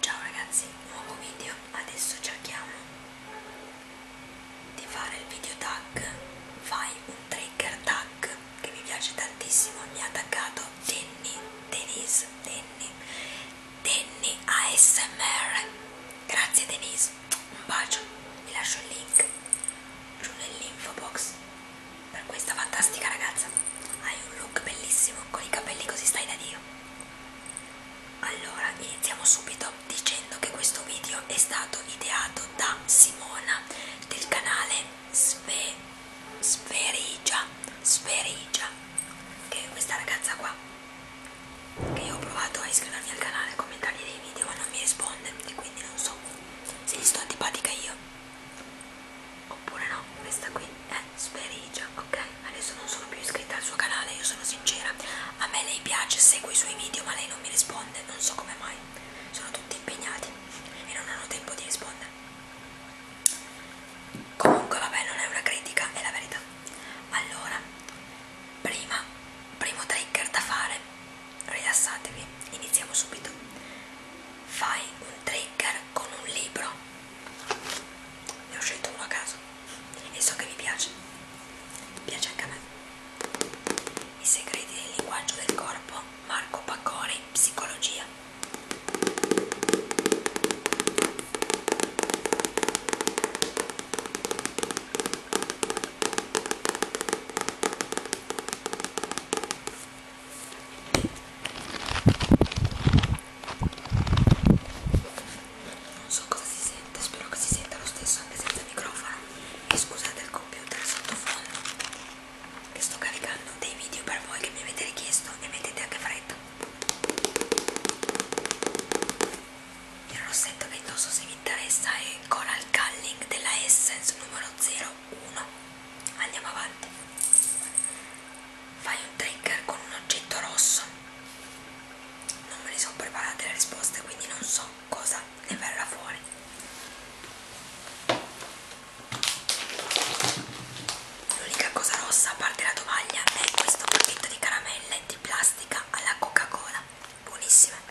Ciao ragazzi, nuovo video, adesso cerchiamo di fare il video tag, fai un trigger tag che mi piace tantissimo, mi ha attaccato Danny, Denise, Danny, Danny ASMR, grazie Denise, un bacio, vi lascio il link giù nell'info box per questa fantastica ragazza, hai un look bellissimo con i capelli così stai da Dio allora, iniziamo subito dicendo che questo video è stato ideato da Simona del canale Sve, Sferigia, Sferigia, che è questa ragazza qua, che io ho provato a iscrivermi al canale, a commentargli dei video ma non mi risponde e quindi non so se gli sto antipatica io oppure no, questa qui è me sberigia, ok? Adesso non sono più iscritta al suo canale, io sono sincera. A me lei piace, seguo i suoi video, ma lei non mi risponde, non so come mai. Sono tutti impegnati e non hanno tempo di rispondere. Comunque, vabbè, non è una critica, è la verità. Allora, prima, primo trigger da fare, rilassatevi, iniziamo subito. Fai un trigger con un libro ne ho scelto uno a caso e so che vi piace piace anche a me i segreti del linguaggio del corpo Marco Pacconi psicologia non so cosa si sente spero che si senta lo stesso anche senza microfono e scusate il computer sottofondo che sto caricando dei video per voi che mi avete richiesto e mettete anche fretta il rossetto che indosso se vi interessa è Coral Culling della Essence numero 01 andiamo avanti Fai un trigger con un oggetto rosso. Non me ne sono preparate le risposte, quindi non so cosa ne verrà fuori. L'unica cosa rossa, a parte la tovaglia, è questo pacchetto di caramelle di plastica alla Coca-Cola. Buonissime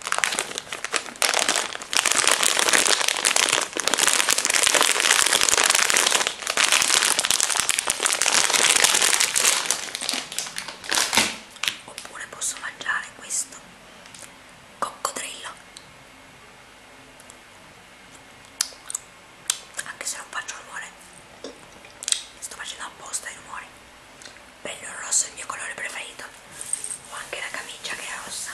oppure posso mangiare questo coccodrillo anche se non faccio rumore sto facendo apposta i rumori bello rosso è il mio colore preferito ho anche la camicia che è rossa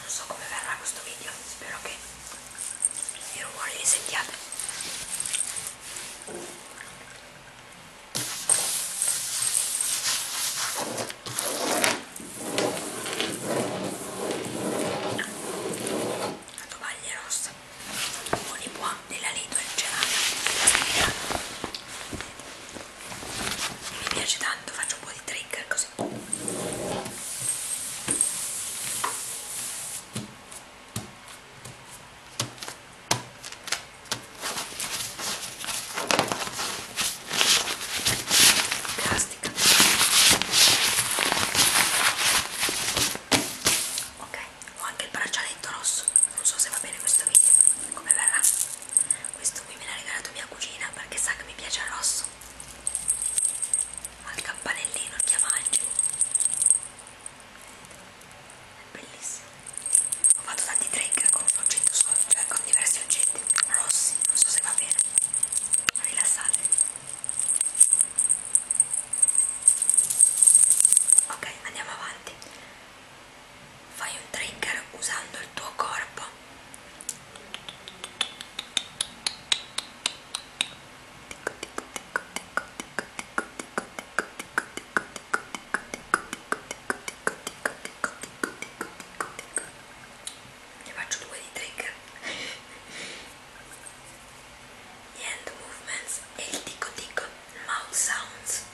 non so come verrà questo video spero che i rumori li sentiate la tovaglia rossa con i buon della Lidl gelata mi piace tanto faccio un po' di trigger così Castica. Ok, ho anche il braccialetto rosso, non so se va bene questo video, come verrà. Questo qui me l'ha regalato mia cugina perché sa che mi piace il rosso. Ma il campanellino, il chiamaggio è bellissimo ho fatto tanti trigger con un oggetto solo cioè eh, con diversi oggetti rossi non so se va bene rilassate ok andiamo avanti fai un trigger usando il tuo corpo ticco ticco ticco ticco ne faccio due di trigger the hand movements e il ticco ticco mouth sounds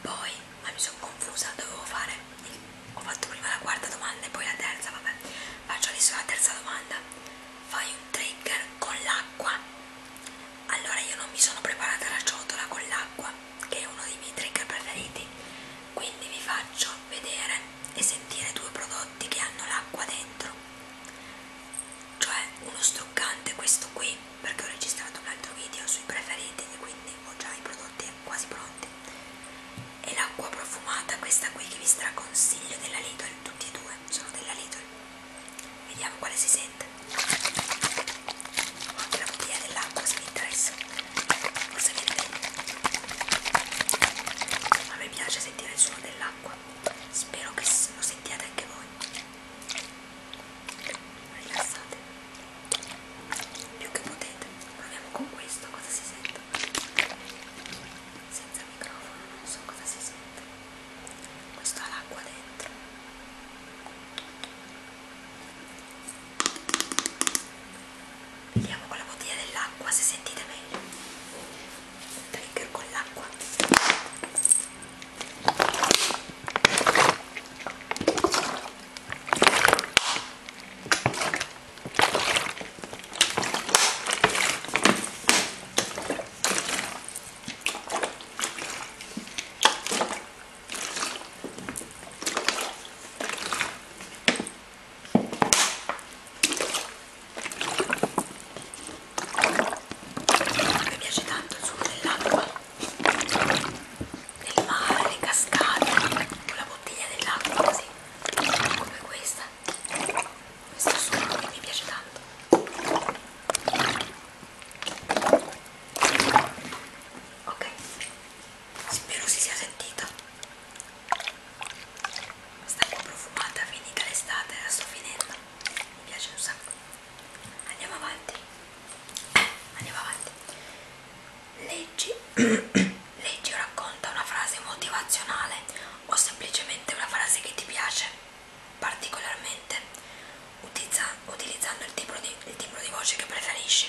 poi ma mi sono confusa dovevo fare il ho fatto prima la quarta domanda e poi la terza, vabbè, faccio adesso la terza domanda. Fai un trigger con l'acqua? Allora io non mi sono preparata la ciotola con l'acqua, che è uno dei miei trigger preferiti, quindi vi faccio vedere e sentire due prodotti che hanno l'acqua dentro. Cioè uno struccante, questo qui, perché ho registrato un altro video sui preferiti e quindi ho già i prodotti quasi pronti e l'acqua profumata questa qui che vi straconsiglio della Lidl tutti e due sono della Lidl vediamo quale si sente Ho anche la bottiglia dell'acqua se vi interessa forse viene bene a me piace sentire il suono dell'acqua spero che lo sentiate anche voi rilassate più che potete proviamo con questo cosa si sente senza microfono non so cosa si sente questo ha l'acqua dentro vediamo con la bottiglia dell'acqua se sentite meglio un trigger con l'acqua mi piace tanto il suono dell'acqua, del mare, le cascate, con la bottiglia dell'acqua così come questa questo suono che mi piace tanto ok spero si sia sentito sta un po' profumata finita l'estate la sto finendo mi piace un sacco andiamo avanti eh, andiamo avanti leggi Leggi o racconta una frase motivazionale o semplicemente una frase che ti piace particolarmente, utilizza, utilizzando il timbro, di, il timbro di voce che preferisci.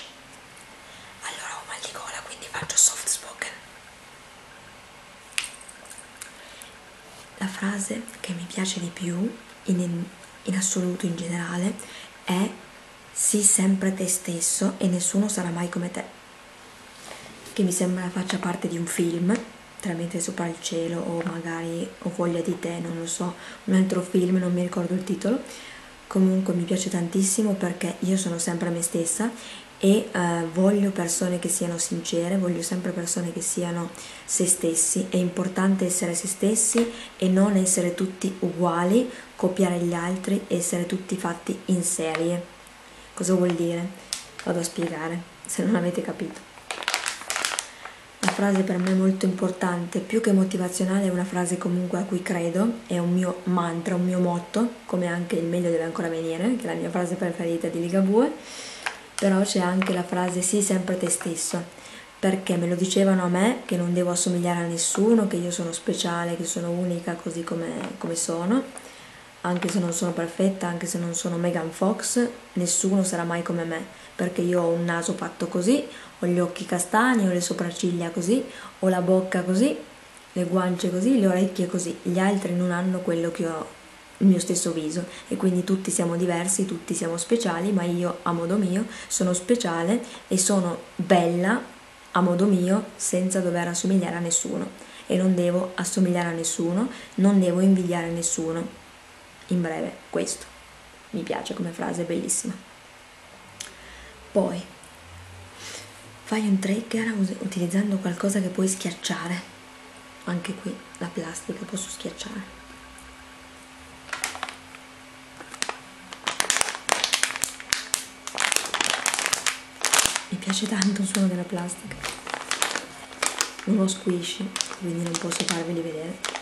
Allora ho mal di gola, quindi faccio soft spoken. La frase che mi piace di più, in, in assoluto in generale, è sii sempre te stesso e nessuno sarà mai come te che mi sembra faccia parte di un film, tra Mentre sopra il cielo o magari Ho voglia di te, non lo so, un altro film, non mi ricordo il titolo. Comunque mi piace tantissimo perché io sono sempre me stessa e eh, voglio persone che siano sincere, voglio sempre persone che siano se stessi. È importante essere se stessi e non essere tutti uguali, copiare gli altri, essere tutti fatti in serie. Cosa vuol dire? Vado a spiegare, se non avete capito. La frase per me molto importante, più che motivazionale, è una frase comunque a cui credo, è un mio mantra, un mio motto, come anche il meglio deve ancora venire, che è la mia frase preferita di Ligabue, però c'è anche la frase sì sempre te stesso, perché me lo dicevano a me che non devo assomigliare a nessuno, che io sono speciale, che sono unica così come, come sono, anche se non sono perfetta, anche se non sono Megan Fox, nessuno sarà mai come me, perché io ho un naso fatto così, ho gli occhi castani, ho le sopracciglia così, ho la bocca così, le guance così, le orecchie così. Gli altri non hanno quello che ho, il mio stesso viso e quindi tutti siamo diversi, tutti siamo speciali, ma io a modo mio sono speciale e sono bella a modo mio senza dover assomigliare a nessuno e non devo assomigliare a nessuno, non devo invidiare nessuno. In breve, questo. Mi piace come frase, è bellissima. Poi, fai un trigger utilizzando qualcosa che puoi schiacciare. Anche qui la plastica posso schiacciare. Mi piace tanto il suono della plastica. Non ho squishy, quindi non posso farveli vedere.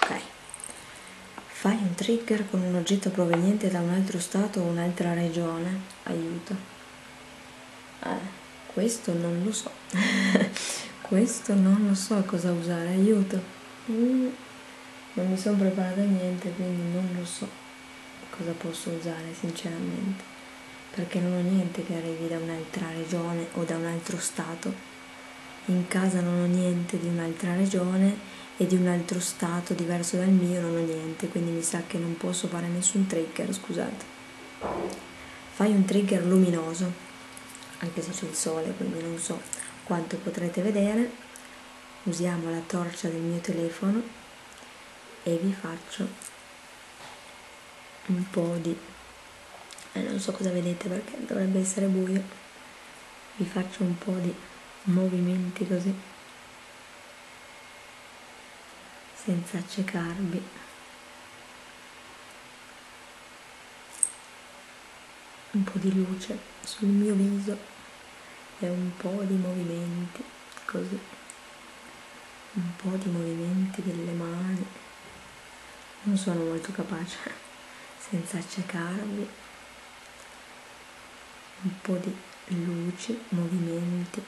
Ok, fai un trigger con un oggetto proveniente da un altro stato o un'altra regione, aiuto eh, questo non lo so. questo non lo so cosa usare, aiuto. Mm, non mi sono preparata a niente, quindi non lo so cosa posso usare sinceramente. Perché non ho niente che arrivi da un'altra regione o da un altro stato. In casa non ho niente di un'altra regione e di un altro stato diverso dal mio non ho niente, quindi mi sa che non posso fare nessun trigger, scusate. Fai un trigger luminoso, anche se c'è il sole, quindi non so quanto potrete vedere. Usiamo la torcia del mio telefono e vi faccio un po' di... Eh, non so cosa vedete perché dovrebbe essere buio. Vi faccio un po' di movimenti così senza accecarvi un po' di luce sul mio viso e un po' di movimenti così, un po' di movimenti delle mani. Non sono molto capace senza accecarvi. Un po' di luci, movimenti,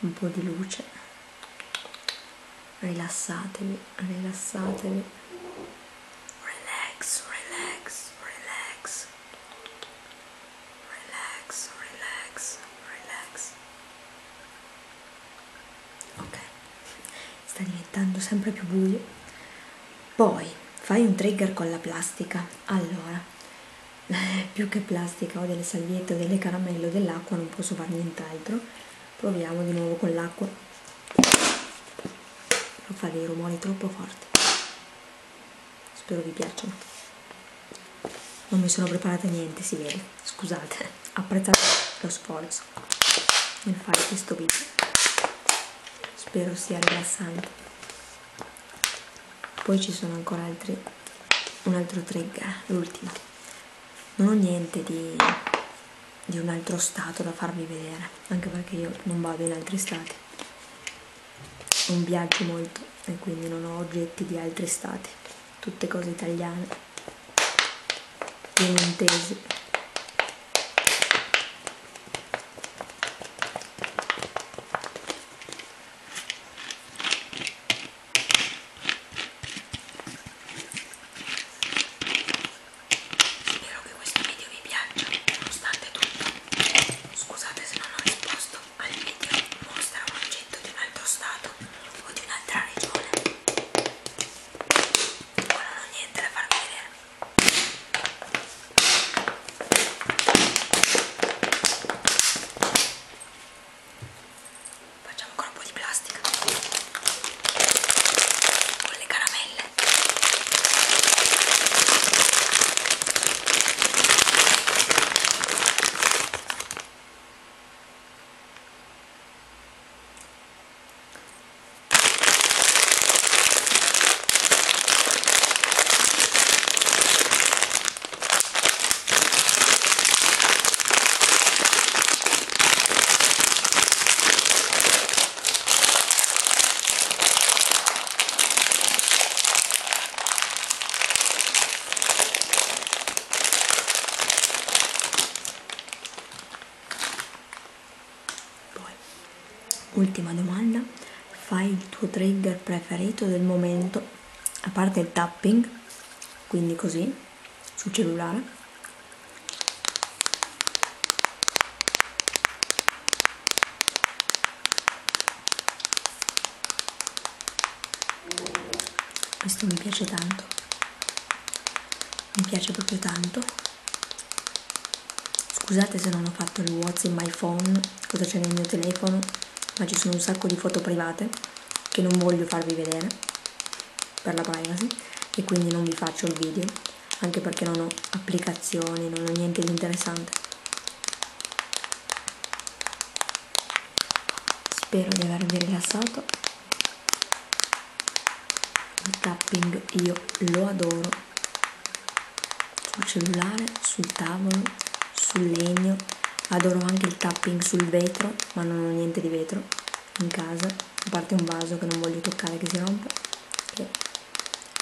un po' di luce rilassatevi, rilassatevi, relax, relax, relax, relax, relax, relax. Ok, sta diventando sempre più buio. Poi fai un trigger con la plastica. Allora, più che plastica o delle salviette o delle caramelle o dell'acqua non posso fare nient'altro proviamo di nuovo con l'acqua non fa dei rumori troppo forti spero vi piacciono non mi sono preparata niente si vede scusate apprezzate lo sforzo nel fare questo video spero sia rilassante poi ci sono ancora altri un altro trigger l'ultimo non ho niente di, di un altro stato da farvi vedere anche perché io non vado in altri stati non viaggio molto e quindi non ho oggetti di altri stati tutte cose italiane piemontesi Spero che questo video vi piaccia, nonostante tutto. Scusate se non ho risposto al video mostra un oggetto di un altro stato o di un'altra regione. Ma non ho niente da farvi vedere facciamo ancora un po' di plastica con le caramelle poi, ultima domanda, fai il tuo trigger preferito del momento a parte il tapping, quindi così, sul cellulare, questo mi piace tanto, mi piace proprio tanto. Scusate se non ho fatto il WhatsApp in my phone, cosa c'è nel mio telefono ma ci sono un sacco di foto private che non voglio farvi vedere per la privacy e quindi non vi faccio il video anche perché non ho applicazioni, non ho niente di interessante spero di avervi rilassato il tapping io lo adoro sul cellulare, sul tavolo sul legno, adoro anche il tapping sul vetro, ma non ho niente di vetro in casa, a parte un vaso che non voglio toccare che si rompe, che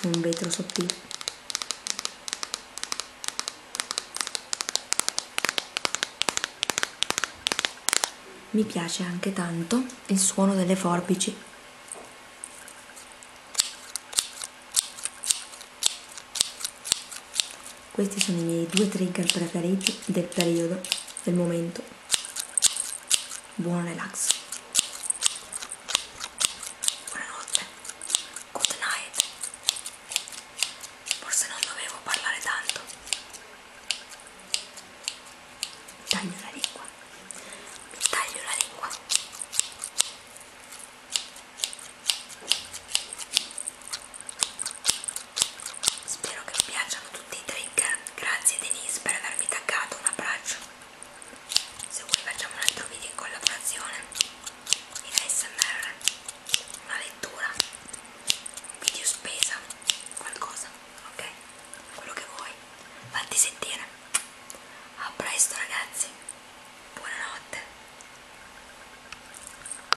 è un vetro sottile. Mi piace anche tanto il suono delle forbici. Questi sono i miei due trigger preferiti del periodo, del momento. Buon relax. Buonanotte. Good night. Forse non dovevo parlare tanto. Mi taglio la lingua. Mi taglio la lingua. Spero che vi piacciono tutti i trigger. Grazie Denise per avermi taggato. Un abbraccio. Se vuoi facciamo un altro video in collaborazione. In ASMR. Una lettura. Un video spesa. Qualcosa. Ok? Quello che vuoi. Fatti sentire. A presto ragazzi. Buonanotte.